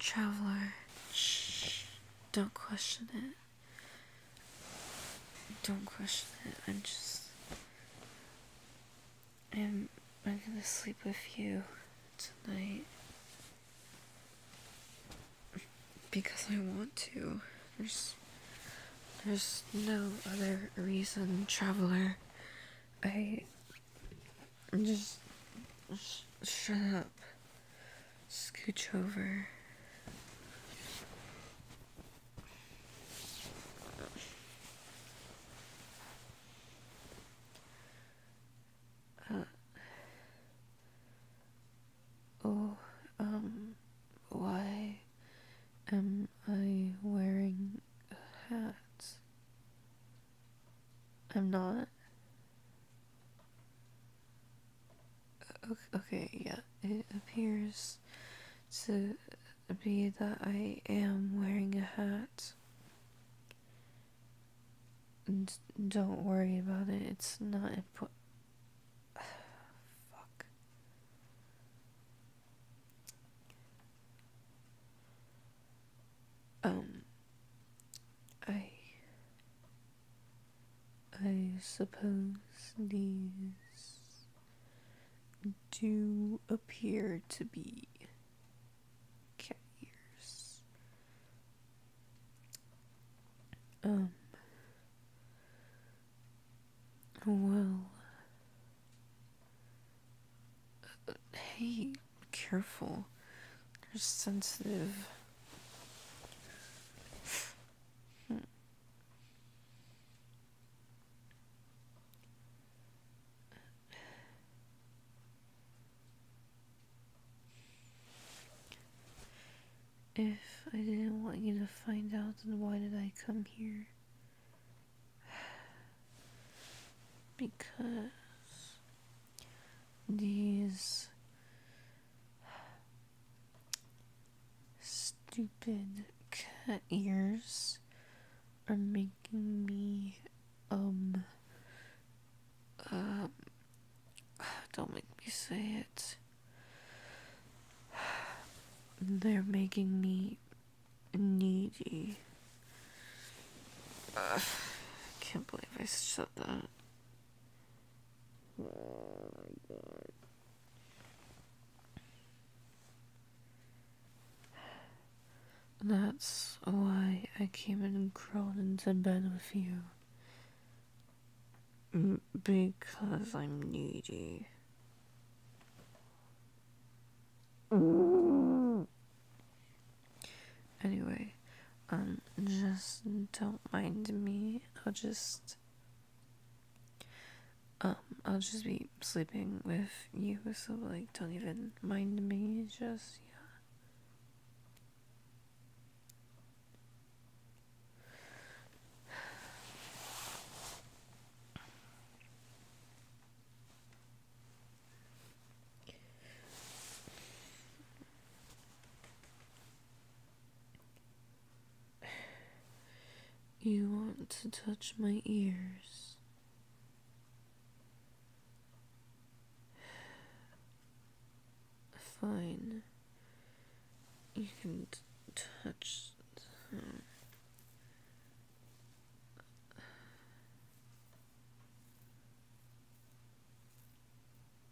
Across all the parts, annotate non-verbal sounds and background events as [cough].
Traveler, shh, don't question it. Don't question it. I'm just. I'm. I'm gonna sleep with you tonight. Because I want to. There's. There's no other reason, traveler. I. I'm Just. shut up scooch over. Uh, oh, um, why am I wearing a hat? I'm not. Okay, yeah, it appears to be that I am wearing a hat. don't worry about it, it's not important. [sighs] Fuck. Um, I I suppose these do appear to be cat ears. Um, well, uh, hey, careful, they're sensitive. Hmm. If I didn't want you to find out, then why did I come here? [sighs] Because these stupid cut ears are making me um um [sighs] don't make me say it [sighs] they're making me needy [sighs] I can't believe I said that Oh That's why I came and crawled into bed with you. Because I'm needy. Anyway, um, just don't mind me. I'll just. Um, I'll just be sleeping with you, so, like, don't even mind me. Just, yeah. You want to touch my ears. Fine. You can touch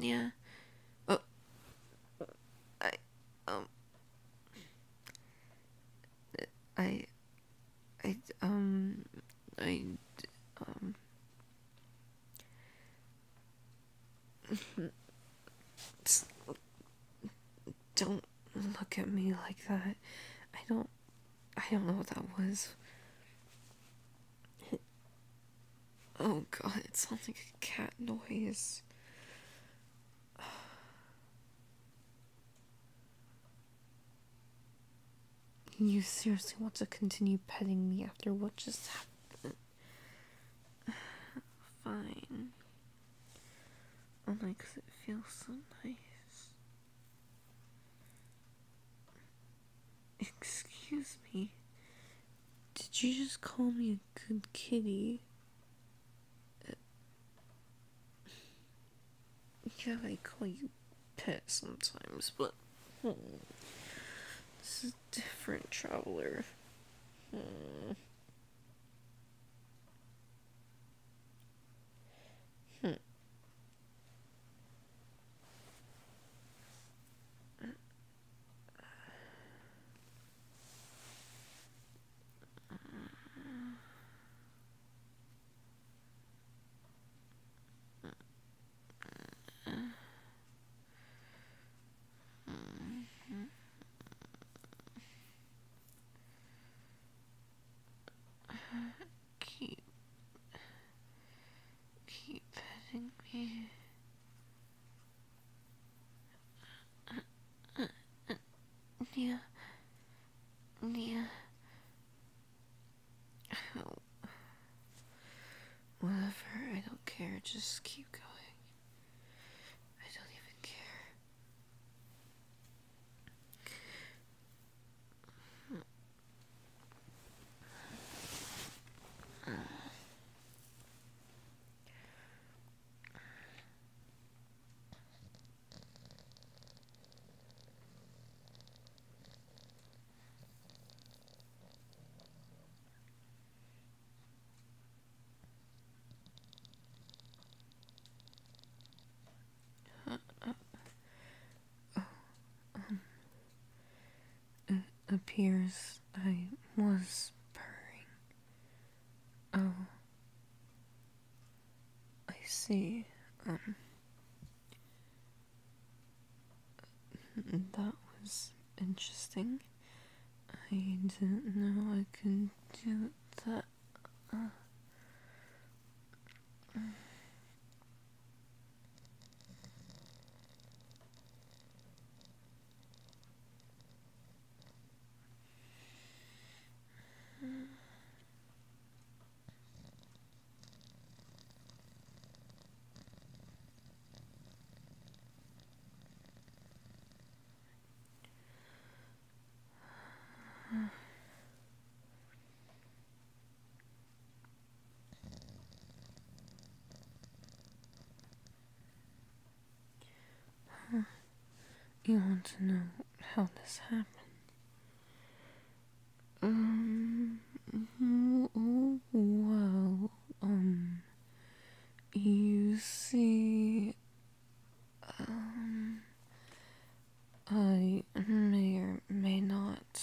Yeah. Oh. I, um. I, I, um, I, um. [laughs] don't look at me like that. I don't I don't know what that was. Oh god, it sounds like a cat noise. You seriously want to continue petting me after what just happened? [sighs] Fine. Only oh because it feels so nice. Excuse me. Did you just call me a good kitty? Yeah, I call you pet sometimes, but hmm, this is a different traveler. Hmm. hmm. Keep, keep petting me. Nia, Nia, [sighs] Whatever, I don't care. Just keep going. I don't even care it appears I was purring. Oh, I see. Um, that was interesting. I didn't know I could do that. You want to know how this happened? Um, well, um, you see, um, I may or may not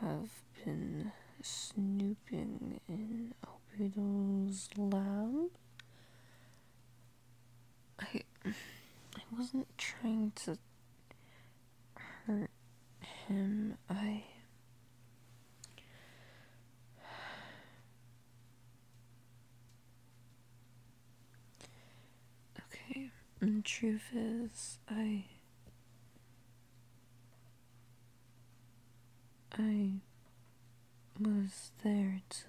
have been snooping in Albedo's lab. I I wasn't trying to hurt him. I Okay, and truth is I I was there to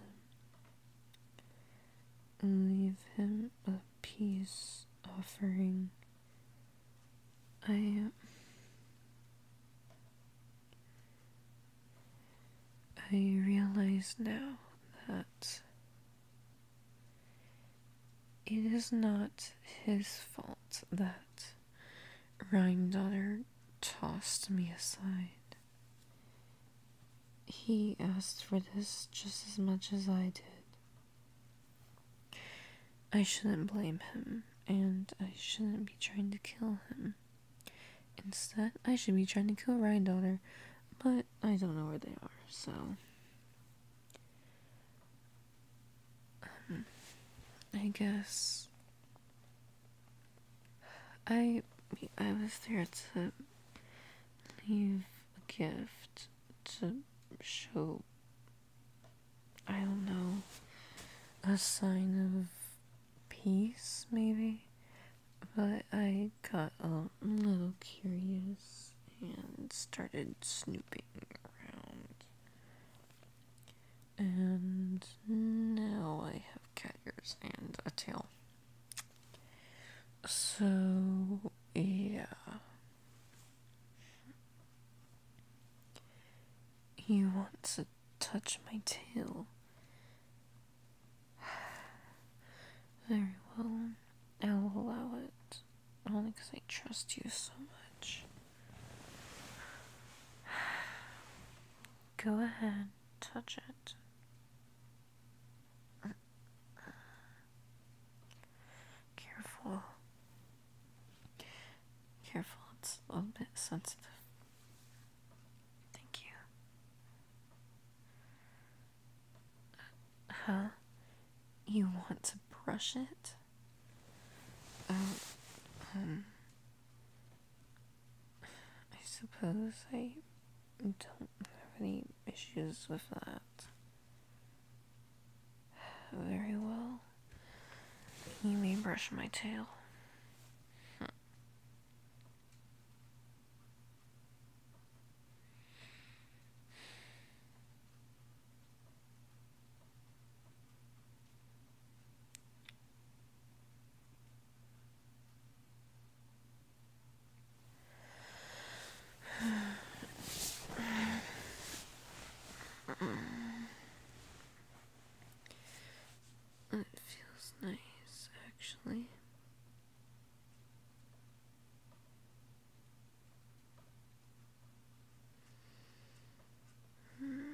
Leave him a peace offering. I. I realize now that it is not his fault that Rhine tossed me aside. He asked for this just as much as I did. I shouldn't blame him, and I shouldn't be trying to kill him. Instead, I should be trying to kill Ryan Daughter, but I don't know where they are, so. Um, I guess. I I was there to leave a gift to show, I don't know, a sign of peace, maybe? But I got a little curious and started snooping around. And now I have cat ears and a tail. So, yeah. You want to touch my tail? [sighs] Very well. I'll allow it. Only because I trust you so much. [sighs] Go ahead, touch it. Careful. Careful, it's a little bit sensitive. Thank you. Huh? You want to brush it? Um, I suppose I don't have any issues with that. Very well. You may brush my tail. It feels nice, actually. Hmm.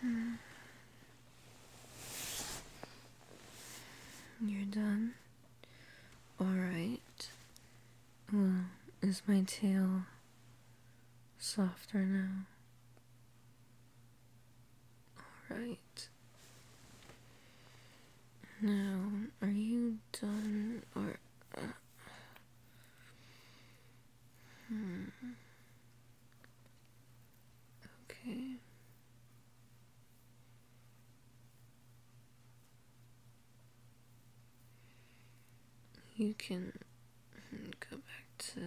Hmm. You're done. All right. Mm, is my tail softer now? Alright. Now, are you done or. Uh, hmm. Okay. You can go back to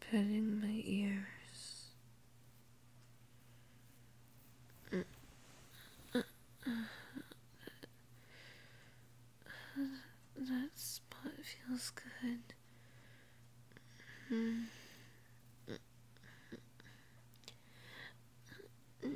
petting my ears. that spot feels good. Hmm.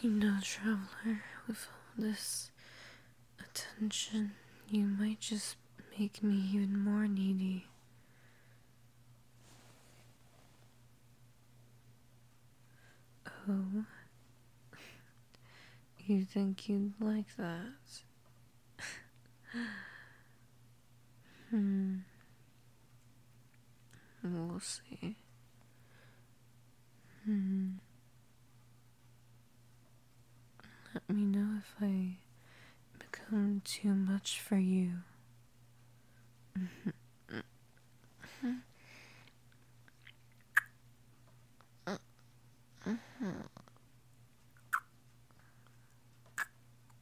You know, traveler, with all this attention, you might just make me even more needy. Oh, [laughs] you think you'd like that? [laughs] Hmm. We'll see. Hmm. Let me know if I become too much for you. [laughs] Hmm.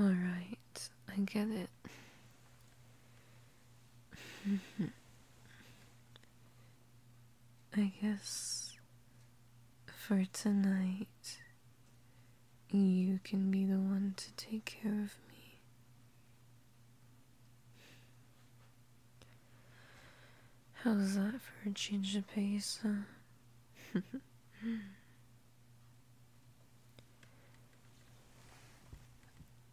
All right, I get it. I guess for tonight you can be the one to take care of me. How's that for a change of pace, [laughs]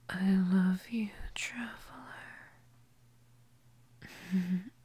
I love you, traveler. [laughs]